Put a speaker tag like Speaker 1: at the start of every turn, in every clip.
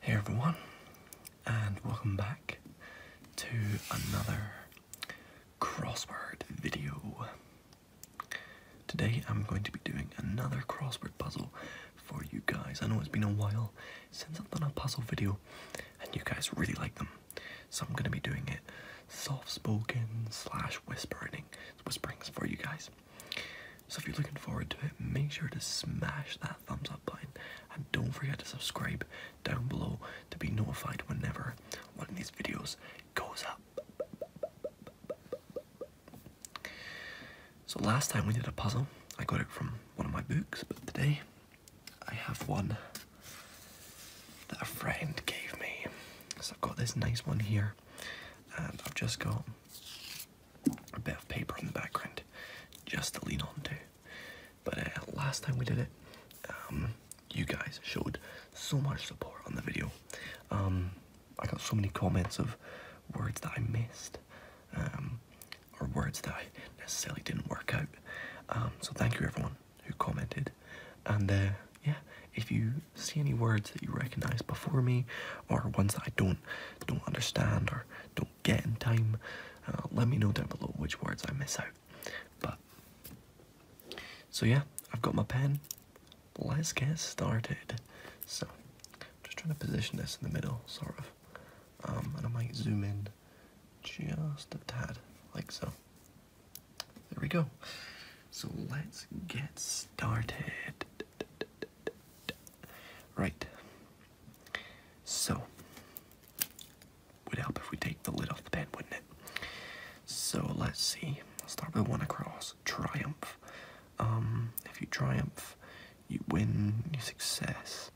Speaker 1: Hey everyone, and welcome back to another crossword video. Today I'm going to be doing another crossword puzzle for you guys. I know it's been a while since I've done a puzzle video, and you guys really like them, so I'm going to be doing it soft-spoken slash whispering whisperings for you guys. So if you're looking forward to it, make sure to smash that thumbs up button and don't forget to subscribe down below to be notified whenever one of these videos goes up. So last time we did a puzzle, I got it from one of my books, but today I have one that a friend gave me. So I've got this nice one here I've just got a bit of paper in the background just to lean on to. But uh, last time we did it, um, you guys showed so much support on the video. Um, I got so many comments of words that I missed, um, or words that I necessarily didn't work out. so thank you everyone who commented. And uh, yeah, if you see any words that you recognize before me, or ones that I don't don't understand or don't get in time, uh, let me know down below which words I miss out. But so yeah, I've got my pen. Let's get started. So I'm just trying to position this in the middle, sort of. Um, and I might zoom in just a tad, like so. There we go. So let's get started. Right. So, would help if we take the lid off the pen, wouldn't it? So let's see. I'll start with one across. Triumph. Um, if you triumph, you win. You success.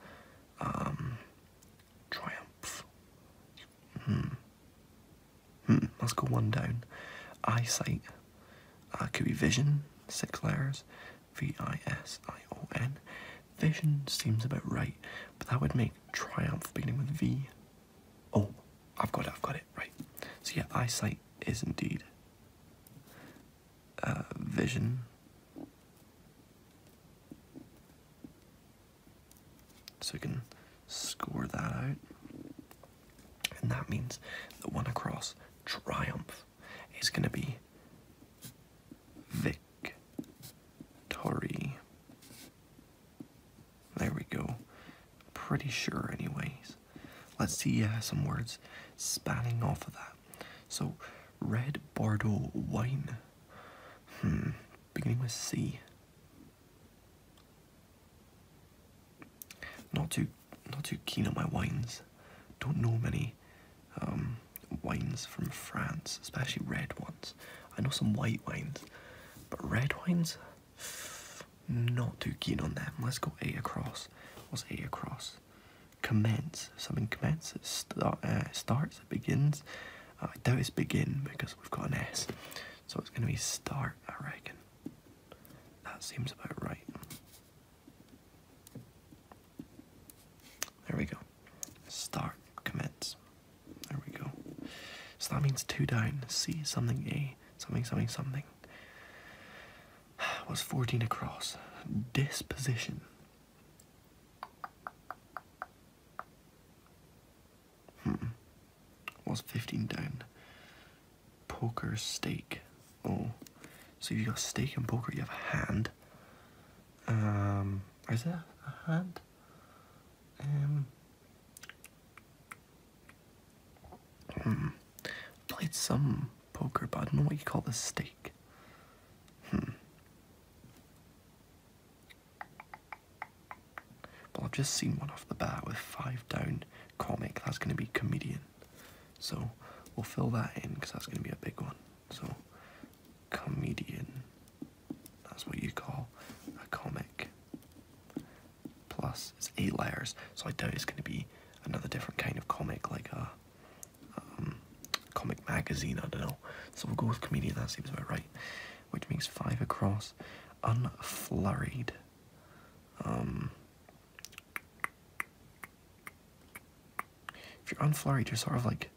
Speaker 1: Um, triumph. Hmm. Hmm. Let's go one down. Eyesight. Uh, could be vision. Six letters. V I S I O N. Vision seems about right, but that would make triumph beginning with V. Oh, I've got it. I've got it. Right. So yeah, eyesight is indeed. Uh, vision. So we can score that out. And that means the one across triumph is going to be victory. There we go. Pretty sure, anyways. Let's see uh, some words spanning off of that. So, red Bordeaux wine. Hmm. Beginning with C. Not too, not too keen on my wines. Don't know many um, wines from France, especially red ones. I know some white wines, but red wines, not too keen on them. Let's go A across. What's A across? Commence. Something commences. Start, uh, starts. It begins. Uh, I doubt it's begin because we've got an S. So it's going to be start, I reckon. That seems about right. There we go. Start, commence. There we go. So that means two down. C, something, A, something, something, something. Was 14 across. Disposition. Hmm. What's 15 down? Poker, stake. Oh. So you got stake and poker, you have a hand. Um, is that a hand? Um. Hmm. Played some poker, but I don't know what you call the stake. Hmm. Well, I've just seen one off the bat with five down comic. That's going to be comedian. So we'll fill that in because that's going to be a big one. So comedian, that's what you call a comic. Plus, it's eight layers, so I doubt it's going to be another different kind of comic, like a um, comic magazine, I don't know. So we'll go with comedian, that seems about right which means five across. Unflurried. Um, if you're unflurried, you're sort of like.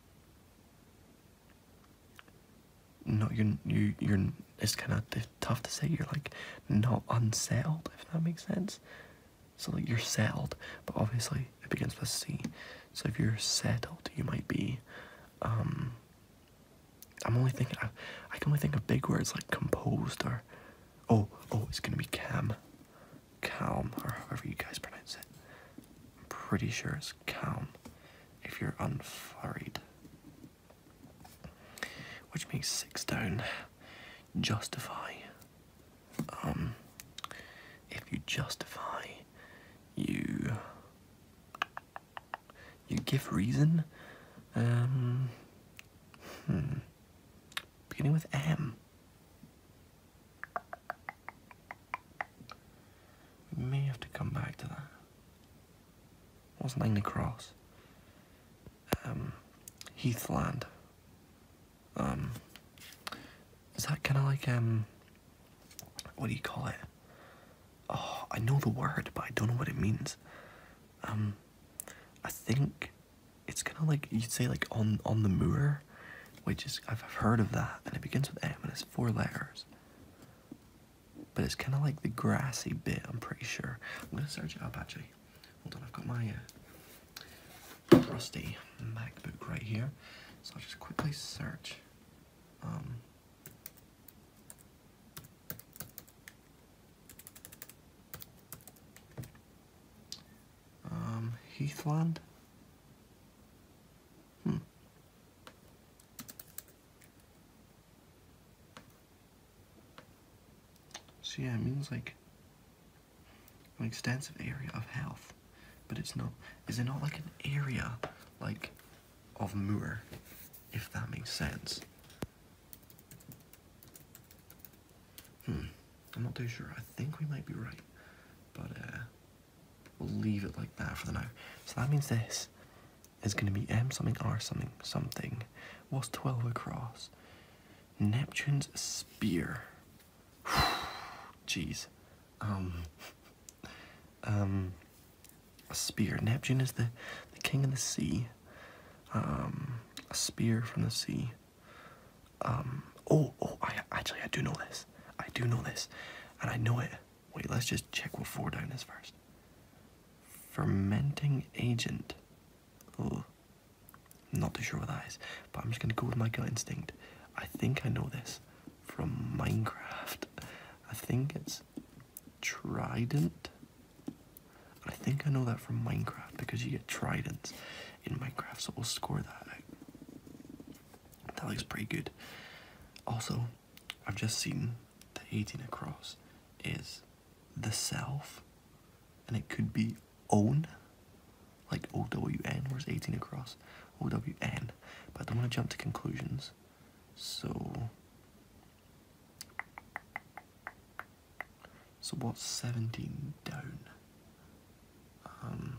Speaker 1: No, you you you're. It's kind of tough to say. You're like not unsettled, if that makes sense. So like you're settled, but obviously it begins with C. So if you're settled, you might be, um, I'm only thinking, I, can only think of big words like composed or, oh, oh, it's gonna be cam, calm, or however you guys pronounce it. I'm pretty sure it's calm if you're unfurried. Which makes six down. Justify. Um, if you justify, you you give reason? Um, hmm. Beginning with M. We may have to come back to that. What's Langley Cross? Um. Heathland. Um. Is that kind of like, um. What do you call it? oh, I know the word, but I don't know what it means. Um, I think it's kind of like you'd say like on on the moor, which is I've heard of that, and it begins with M and it's four letters. But it's kind of like the grassy bit. I'm pretty sure. I'm gonna search it up actually. Hold on, I've got my uh, rusty MacBook right here, so I'll just quickly search. Um, um, Heathland? Hmm. So yeah, it means like an extensive area of health, but it's not, is it not like an area, like of Moore, if that makes sense. Hmm, I'm not too sure. I think we might be right, but uh, we'll leave it like that for the now. So that means this is going to be M something R something something. What's 12 across? Neptune's spear. Jeez. Um. Um a spear. Neptune is the, the king of the sea. Um, a spear from the sea. Um, oh, oh, I actually, I do know this. I do know this. And I know it. Wait, let's just check what four down is first. Fermenting agent. Oh, not too sure what that is. But I'm just going to go with my gut instinct. I think I know this from Minecraft. I think it's trident. I think I know that from Minecraft because you get tridents in Minecraft, so we'll score that. That looks pretty good. Also, I've just seen the 18 across is the self, and it could be own, like O W N, where's 18 across? O W N. But I don't want to jump to conclusions. So, so what's 17 down? Um,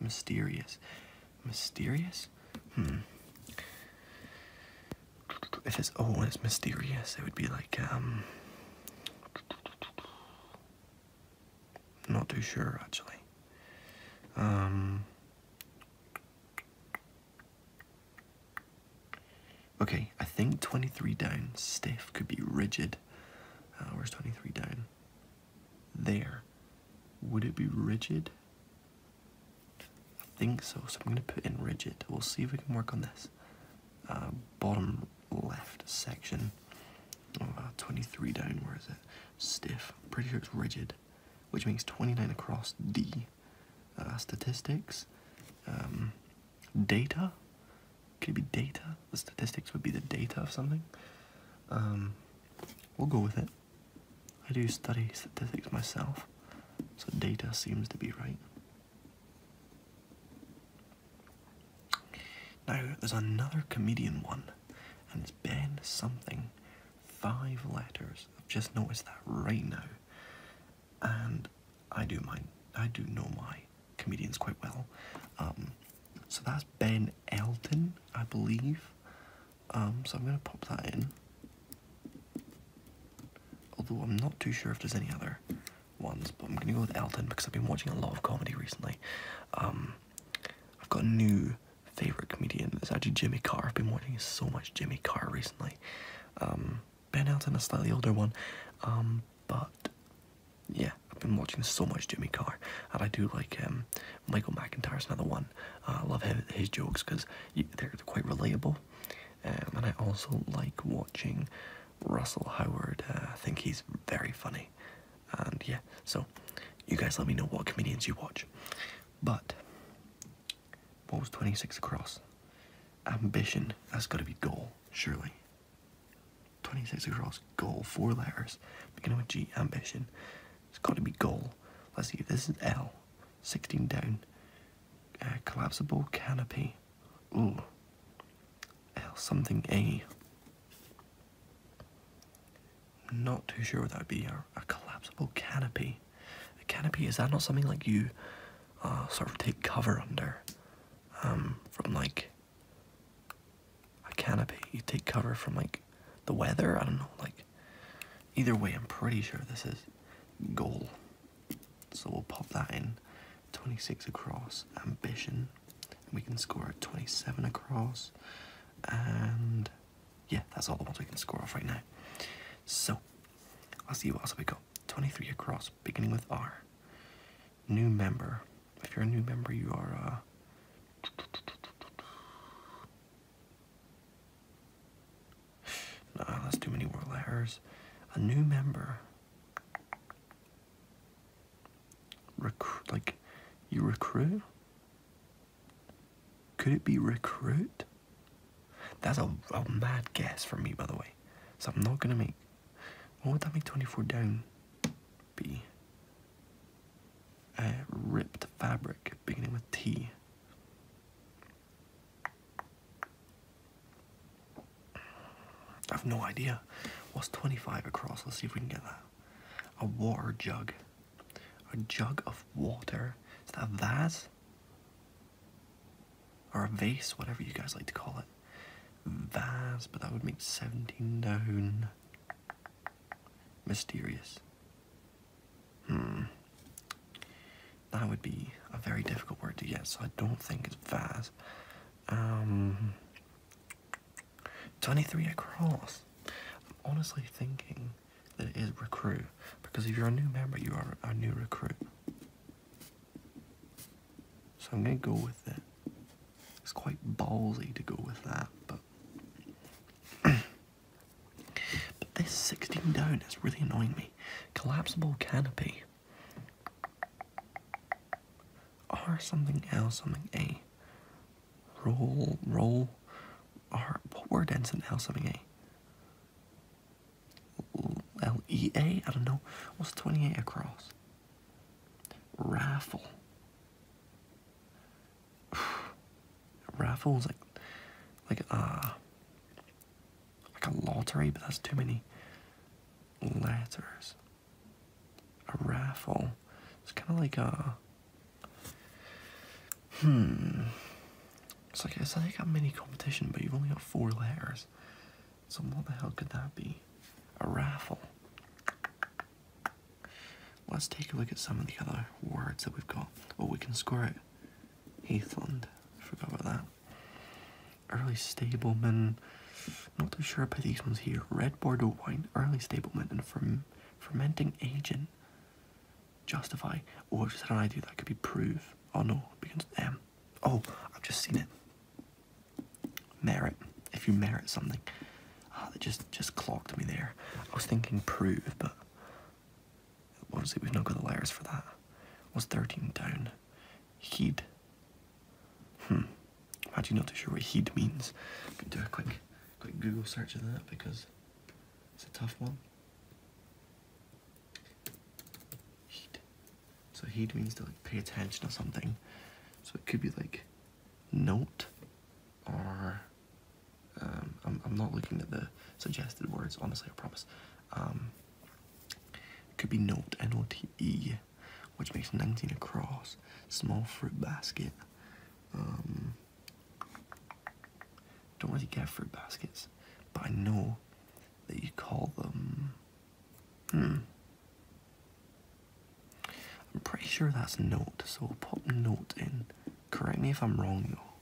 Speaker 1: mysterious. Mysterious? Hmm. If it's oh, it's mysterious, it would be like um. Not too sure actually. Um, Okay, I think 23 down, stiff, could be rigid. Uh, where's 23 down? There. Would it be rigid? I think so, so I'm going to put in rigid. We'll see if we can work on this. Uh, bottom left section. Oh, 23 down, where is it? Stiff. Pretty sure it's rigid which means 29 across D. Uh, statistics, um, data, could it be data? The statistics would be the data of something. Um, we'll go with it. I do study statistics myself, so data seems to be right. Now, there's another comedian one, and it's Ben something, five letters. I've just noticed that right now. And I do my I do know my comedians quite well. Um, so that's Ben Elton, I believe. Um, so I'm gonna pop that in. Although I'm not too sure if there's any other ones, but I'm gonna go with Elton because I've been watching a lot of comedy recently. Um, I've got a new favorite comedian is actually Jimmy Carr. I've been watching so much Jimmy Carr recently. Um, ben Elton, a slightly older one, um, but yeah, I've been watching so much Jimmy Carr, and I do like um, Michael McIntyre's another one. Uh, I love his, his jokes because they're quite relatable, um, and I also like watching Russell Howard. Uh, I think he's very funny and yeah, so you guys let me know what comedians you watch. But what was 26 across? Ambition, that's gotta be goal, surely. 26 across, goal, four letters, beginning with G, ambition. It's gotta be goal. Let's see, this is L, 16 down, uh, collapsible canopy. Ooh, L something A. I'm not too sure what that would be. A, collapsible canopy. A canopy, is that not something like you uh, sort of take cover under? Um, from like a canopy. You take cover from like the weather? I don't know. Like, either way, I'm pretty sure this is goal. So we'll pop that in. 26 across, ambition. we can score at 27 across. And yeah, that's all the ones we can score off right now. So, I'll see what else we got. 23 across, beginning with R. New member. If you're a new member, you are. Uh... that's too many more letters. A new member. Recruit, like, you recruit? Could it be recruit? That's a, a mad guess for me, by the way. So I'm not gonna make. What would that make 24 down be? Uh, ripped fabric, beginning with T. I've no idea. What's 25 across? Let's see if we can get that a water jug. A jug of water. Is that a vase? Or a vase, whatever you guys like to call it. Vase, but that would make 17 down. Mysterious. Hmm. That would be a very difficult word to guess. so I don't think it's vase. Um. 23 across. I'm honestly thinking that it is recruit because if you're a new member, you are a new recruit. So I'm gonna go with it. It's quite ballsy to go with that, but. but this 16 down is really annoying me. Collapsible canopy. R something L something A. Roll, roll. R. What word ends in L something A? L E A? I don't know. What's 28 across? Raffle. Raffle is like, like, uh, like a lottery, but that's too many letters a raffle. It's kind of like a. Hmm. It's like it's like a mini competition, but you've only got four layers. So what the hell could that be? A raffle. Let's take a look at some of the other words that we've got. Well, oh, we can score it. Heathland. Forgot about that. Early Stableman. Not too sure about these ones here. Red Bordeaux wine, early Stableman, and from fermenting agent justify or just an idea that could be prove oh no because um oh I've just seen it merit if you merit something ah, that just just clogged me there I was thinking prove but it? we've not got the letters for that Was 13 down heed hmm Imagine you not too sure what heed means. You can do a quick, quick Google search of that because it's a tough one. So heed means to like pay attention or something. So it could be like note or um, I'm, I'm not looking at the suggested words, honestly, I promise. Um, it could be note, N-O-T-E, which makes 19 across, small fruit basket, um, don't want to get fruit baskets, but I know that you call them. Hmm. I'm pretty sure that's note, so we'll pop note in. Correct me if I'm wrong though,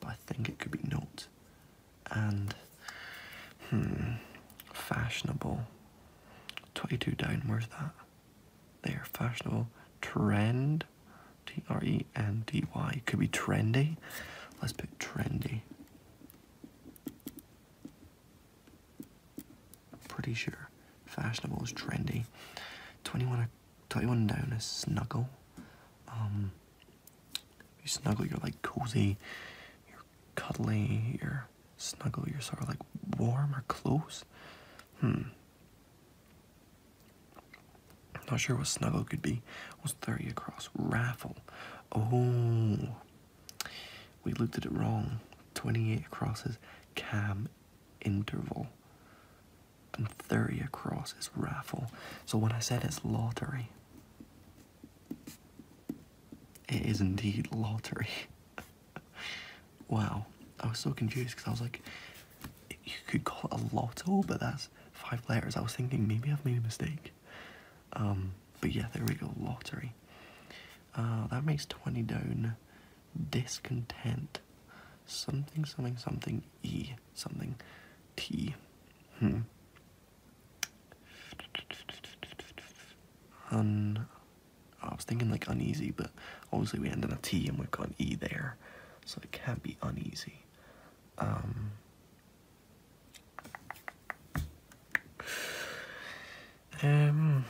Speaker 1: but I think it could be note. And, hmm, fashionable. 22 down, where's that? They are fashionable trend. T R E N D Y. Could be trendy. Let's put trendy. Pretty sure fashionable is trendy. 21, 21 down is snuggle. Um, you snuggle, you're like cozy, you're cuddly, you're snuggle, you're sort of like warm or close. Hmm. Not sure what snuggle could be. Was 30 across? Raffle. Oh. We looked at it wrong. 28 across is cam interval. And 30 across is raffle. So when I said it's lottery, it is indeed lottery. wow, I was so confused because I was like, you could call it a lotto, but that's five letters. I was thinking maybe I've made a mistake. Um, but yeah, there we go, lottery. Uh, that makes 20 down. Discontent. Something, something, something, E, something, T. Hmm. Un I was thinking like uneasy, but obviously we ended on a T and we've got an E there, so it can't be uneasy. Um, um,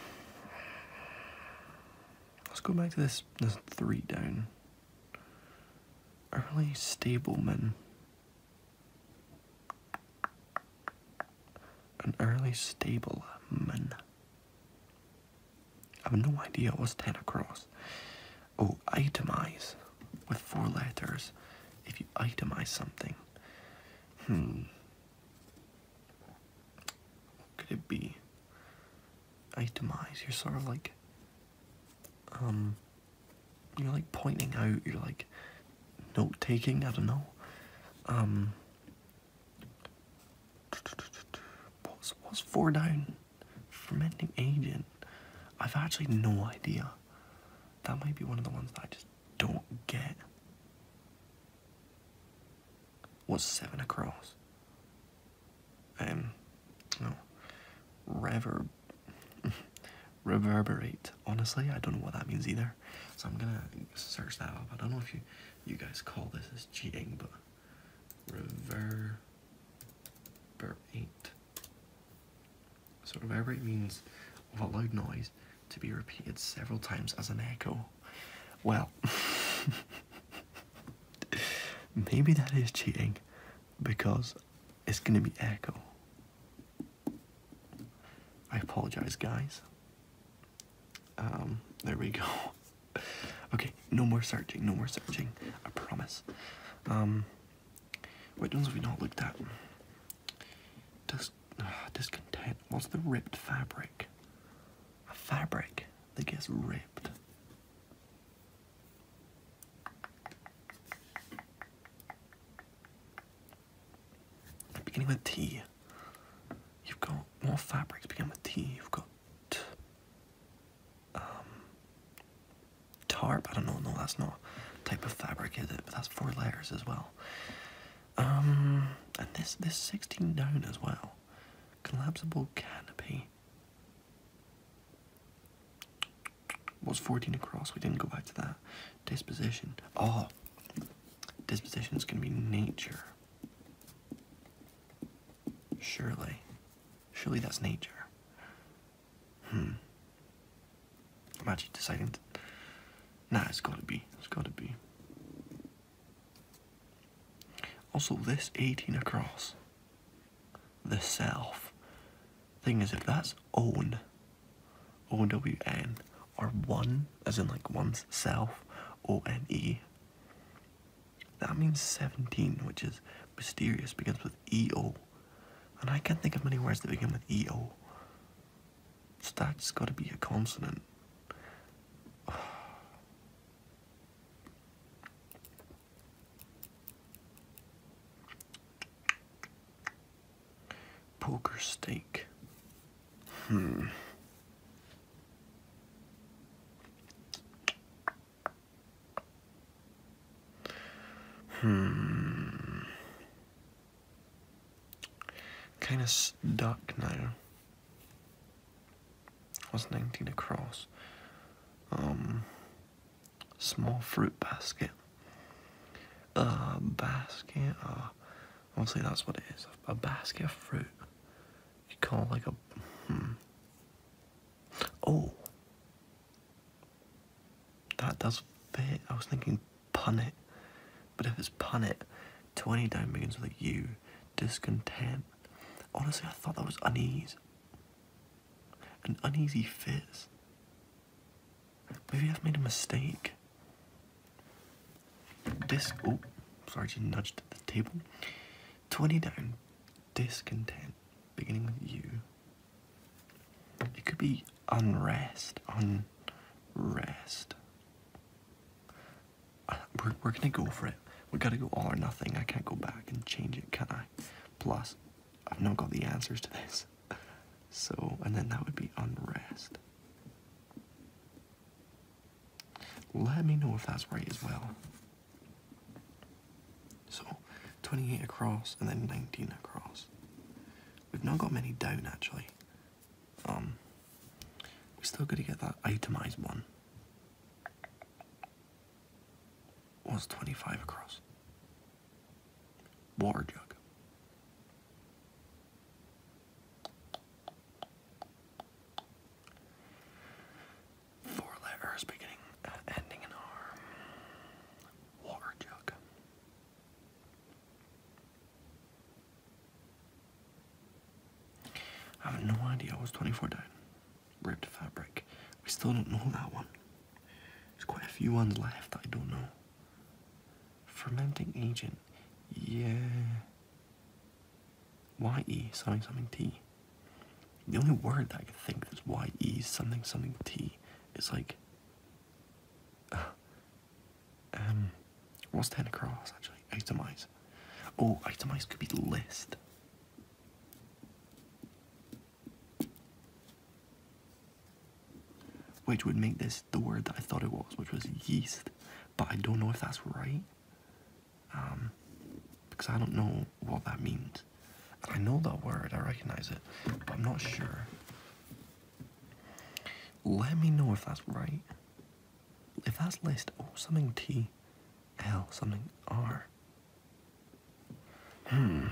Speaker 1: let's go back to this this three down. Early stableman. An early stableman. I have no idea what's 10 across. Oh, itemize with four letters. If you itemize something, hmm, could it be? Itemize, you're sort of like, um, you're like pointing out, you're like note taking, I don't know. Um, What's what's four down? Fermenting agent. I've actually no idea. That might be one of the ones that I just don't get. What's seven across? Um, no. Reverberate. Honestly, I don't know what that means either. So I'm gonna search that up. I don't know if you you guys call this as cheating, but reverberate. So reverberate means of a loud noise to be repeated several times as an echo. Well, maybe that is cheating because it's going to be echo. I apologize, guys. Um, there we go. Okay, no more searching, no more searching. I promise. Um, What ones have we not looked at? Dis ah, discontent. What's the ripped fabric? A fabric that gets ripped. Beginning with T. You've got more fabrics begin with T. You've got um, tarp. I don't know. No, that's not type of fabric, is it? But that's four layers as well. Um, and this this 16 down as well. Collapsible canopy. was 14 across. We didn't go back to that. Disposition. Oh, disposition is going to be nature. Surely. Surely that's nature. Hmm. i deciding Nah, it's gotta be. It's gotta be. Also, this 18 across. The self. Thing is, if that's own, O-W-N, are one, as in like one's self, O N E. That means 17, which is mysterious, begins with E O. And I can't think of many words that begin with E O. So that's gotta be a consonant. Poker steak. Hmm. Hmm. Kind of stuck now. Was 19 across? Um, small fruit basket. Uh, basket. Uh, Honestly, that's what it is. A basket of fruit. You call it like a. Hmm. Oh! That does fit. I was thinking pun it, But if it's pun it, 20 down begins with a U. Discontent. Honestly, I thought that was unease. An uneasy fit. Maybe I've made a mistake. Dis oh, sorry, just nudged at the table. Twenty down. Discontent, beginning with you. It could be unrest, unrest. Uh, we're we're gonna go for it. We gotta go all or nothing. I can't go back and change it, can I? Plus, I've not got the answers to this. So, and then that would be unrest. Let me know if that's right as well. So, 28 across and then 19 across. We've not got many down actually. Um, we are still going to get that itemized one. What's 25 across? Water jug. Four letters beginning, uh, ending in R. Water jug. I have no idea. I was 24 down. Ripped fabric. We still don't know that one. There's quite a few ones left that I don't know. Fermenting agent. Yeah. Y-E something something T. The only word that I could think that's Y-E something something T is like, uh, um, what's 10 across actually? Itemize. Oh, itemize could be list. Which would make this the word that I thought it was, which was yeast but I don't know if that's right um, because I don't know what that means. I know that word, I recognize it, but I'm not sure. Let me know if that's right. If that's list, oh, something T, L, something R. Hmm,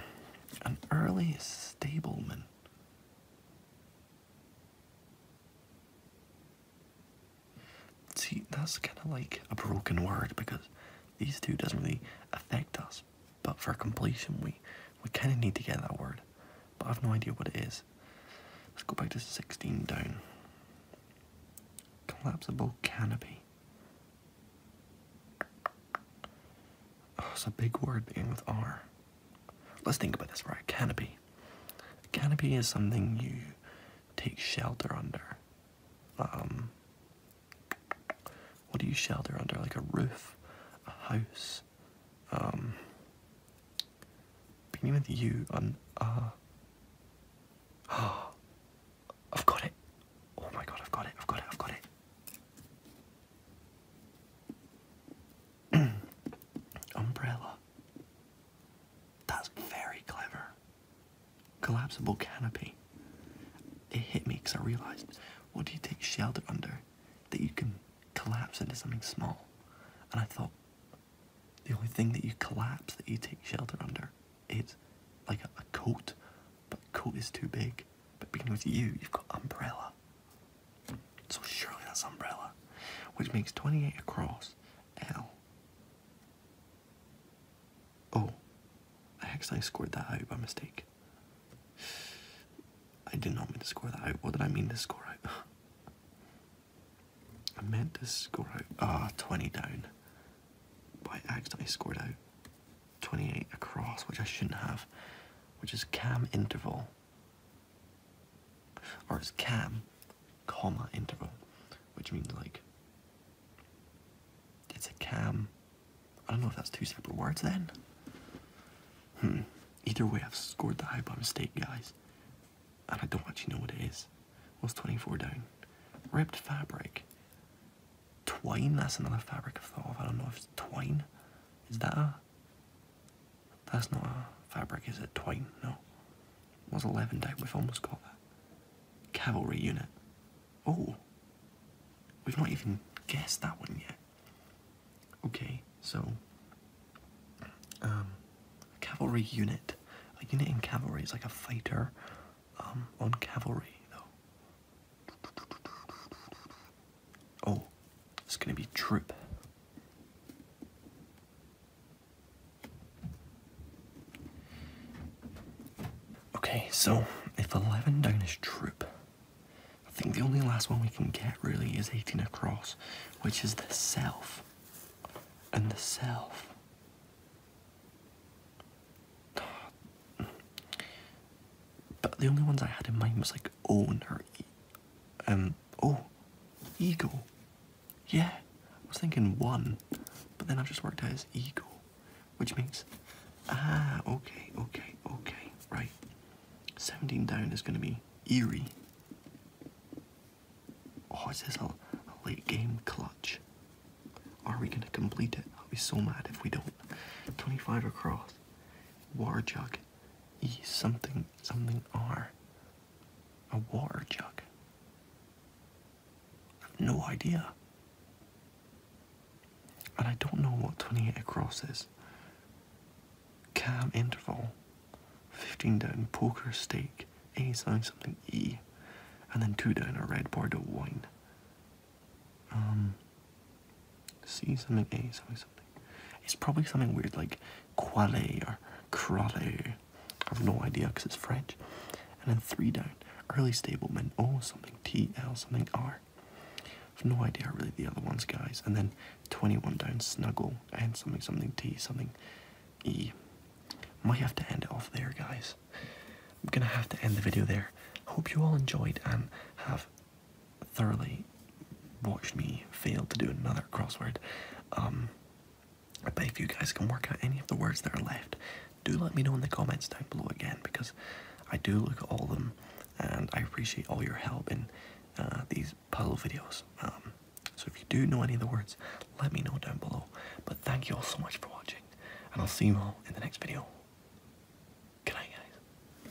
Speaker 1: an early stableman. See, that's kind of like a broken word because these two doesn't really affect us. But for completion, we we kind of need to get that word. But I've no idea what it is. Let's go back to 16 down. Collapsible canopy. Oh, it's a big word being with R. Let's think about this, right? Canopy canopy. A canopy is something you take shelter under. Um, what do you shelter under? Like a roof, a house. Um, being with you on. Uh, I've got it. Oh my god, I've got it, I've got it, I've got it. Umbrella. That's very clever. Collapsible canopy. It hit me because I realized what do you take shelter under that you can collapse into something small? And I thought the only thing that you collapse that you take shelter under is like a, coat, but coat is too big. But because you, you've got umbrella. So surely that's umbrella, which makes 28 across L. Oh, I actually scored that out by mistake. I did not mean to score that out. What did I mean to score out? I meant to score out. Ah, 20 down. But I accidentally scored out 28 across, which I shouldn't have, which is cam interval. Or it's cam, comma, interval, which means like it's a cam. I don't know if that's two separate words then. Hmm. Either way, I've scored the high by mistake, guys. And I don't actually know what it is. Was 24 down? Ripped fabric. Twine? That's another fabric i thought of. I don't know if it's twine. Is that a that's not a fabric, is it? Twine? No. It was 11 down. We've almost got that. Cavalry unit. Oh! We've not even guessed that one yet. Okay, so. Um, cavalry unit. A unit in cavalry is like a fighter um, on cavalry, though. Oh, it's going to be Troop. Okay, so if 11 down is Troop, I think the only last one we can get really is 18 across, which is the self. And the self. But the only ones I had in mind was like owner. Um, oh, eagle. Yeah, I was thinking one, but then I've just worked out as eagle, which means, ah, okay, okay, okay, right. 17 down is going to be eerie. Oh, this is a late game clutch? Are we going to complete it? I'll be so mad if we don't. 25 across. War jug. E something something R. A water jug. no idea. And I don't know what 28 across is. Cam interval. 15 down poker stake. A something something E. And then two down a red Bordeaux wine. Um C something A something something. It's probably something weird like quale or crale. I have no idea because it's French. And then three down, early stableman. O oh, something T L something R. I have no idea really the other ones, guys. And then 21 down, snuggle and something something T something E. Might have to end it off there, guys. I'm gonna have to end the video there. Hope you all enjoyed and have thoroughly watched me fail to do another crossword. but um, if you guys can work out any of the words that are left, do let me know in the comments down below again because I do look at all of them and I appreciate all your help in uh, these puzzle videos. Um, so if you do know any of the words, let me know down below. But thank you all so much for watching and I'll see you all in the next video. Good night guys.